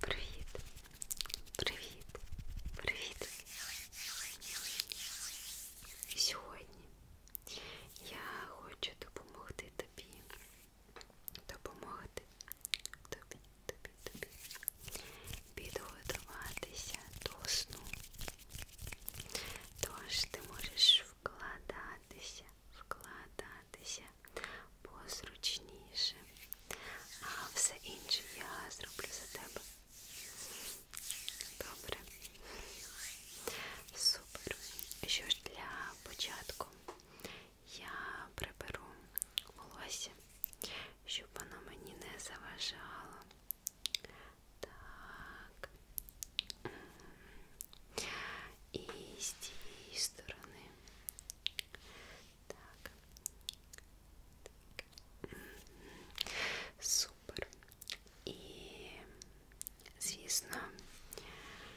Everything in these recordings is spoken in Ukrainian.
Привіт, привіт, привіт. Сьогодні я хочу допомогти тобі допомогти тобі, тобі, тобі підготуватися до сну. Тож ти можеш вкладатися, вкладатися позручніше, а все інше я зроблю за тебе. Добре. Супер. Що ж для початку я приберу волосся, щоб воно мені не заважало. Так. І з цієї сторони. Так. так. Супер. І, звісно,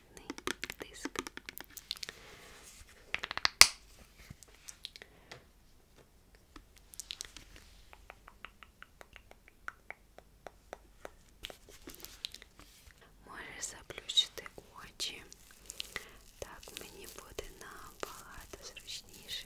магнітний диск. Можеш заплющити очі. Так мені буде набагато зручніше.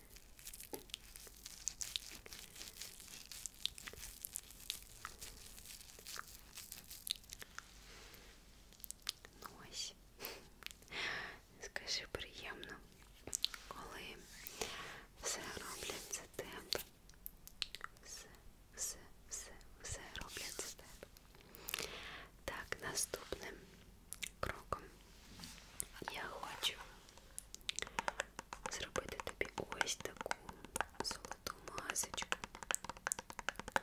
Ну ось, скажи приємно, коли все роблять за тебе. Все, все, все, все роблять за тебе. Так, наступне кроком. Я хочу зробити тобі ось таку золоту масочку. Ось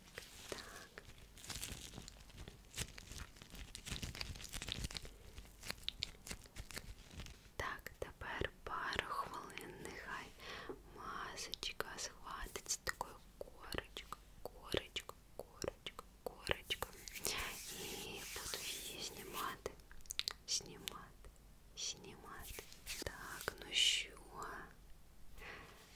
Так. Так, тепер пару хвилин нехай масочка схватить з такою корочкою, корочкою, корочкою, корочкою. І буду її знімати, знімати, знімати. Так, ну що?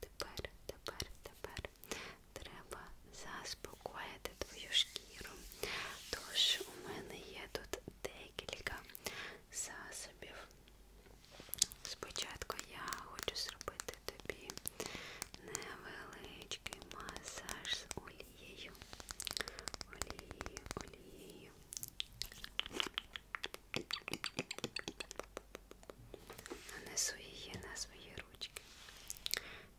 тепер, тепер, тепер треба заспокоїти твою шкіру. Тож у мене є тут декілька засобів. Спочатку я хочу зробити тобі невеличкий масаж з олією. Олією, олією. Нанесу її на свої ручки.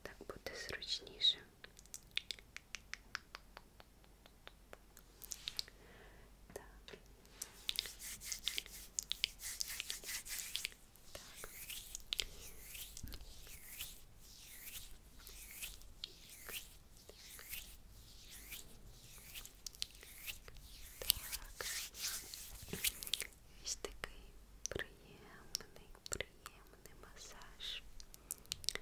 Так буде зручніше. Так. Так. Так. Так. Ось такий приємний, приємний масаж. Так.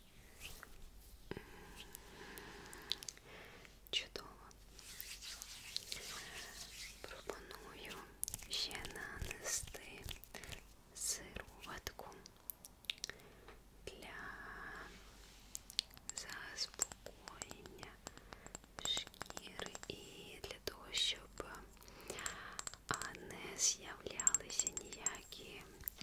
Чудово. Пропоную ще нанести сироватку для заспокоєння шкіри і для того, щоб не з'являлися ніякі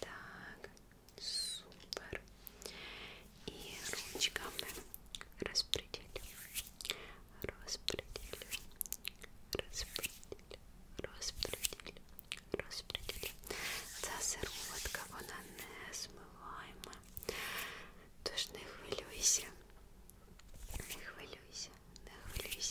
Так, супер. И ручками распределю, распределю, распределю, распределю, распределю. Ця сироватка, вона не змиваємо. Тож не хвилюйся, не хвилюйся, не хвилюйся.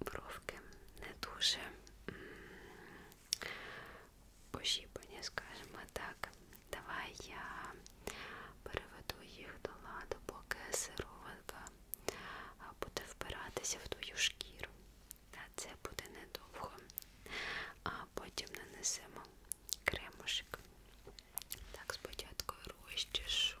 бровки не дуже пошіпані, скажімо так. Давай я переведу їх до ладу, поки сироватка буде впиратися в твою шкіру. Та це буде недовго. А потім нанесемо кремушик. Так, спочатку розчешу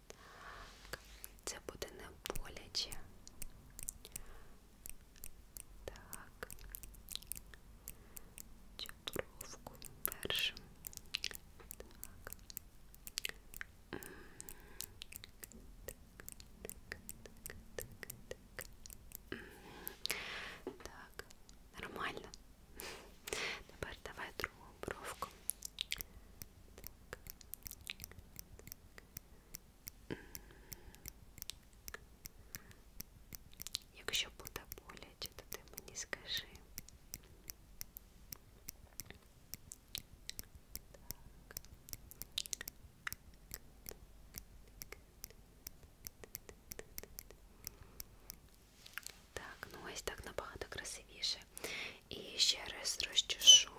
Так, це буде не боляче. Так, чотуровку першим. Так. Так, так, так, так. Так, нормально. Тепер давай другу бровку. Якщо буде боляче, то ти мені скажи. Так, ну ось так набагато красивіше. І ще раз розчешу.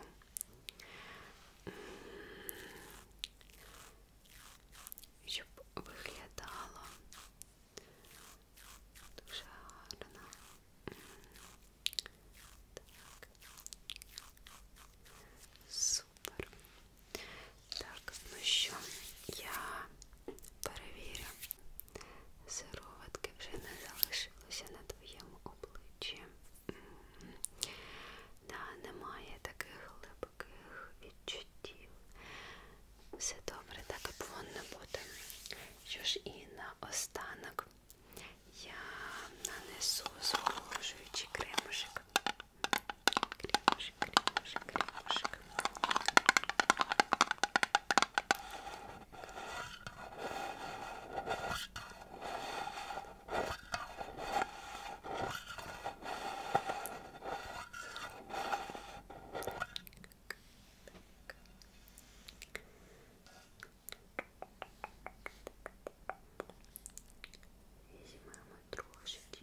Щоб виглядало дуже гарно. Так. Супер. Так, ну що, я перевірю. Сироватки вже не залишилося на твоєму обличчі. М -м -м. Да, немає таких глибоких відчуттів. Все добре, так і повинно бути. Що ж і на останок я нанесу зволожуючий кремушек. Кремушек, кремушек, кремушек. Візьмемо трошечки.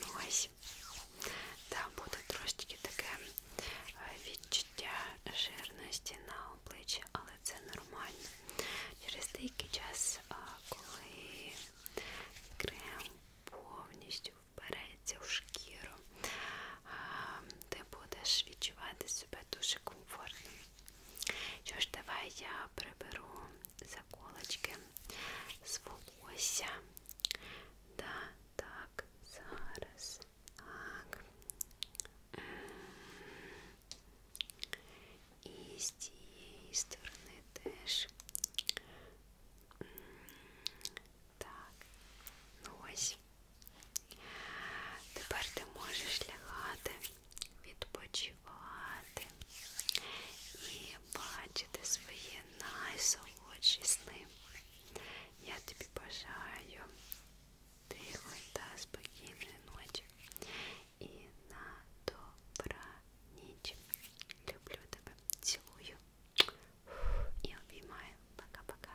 Ну ось, там буде трошечки таке е, відчуття жирності на обличчі, але це нормально. Через деякий час, коли крем повністю вбереться в шкіру, ти будеш відчувати себе дуже комфортно. Що ж, давай я приберу заколочки з волосся. Да, так, зараз. Так. І з цієї сторони теж. Так, ну ось. Тепер ти можеш лягати, відпочивати і бачити свої найсолодші сни. Я тобі бажаю тихої та спокійної ночі і на добра ніч. Люблю тебе, цілую і обіймаю. Пока-пока.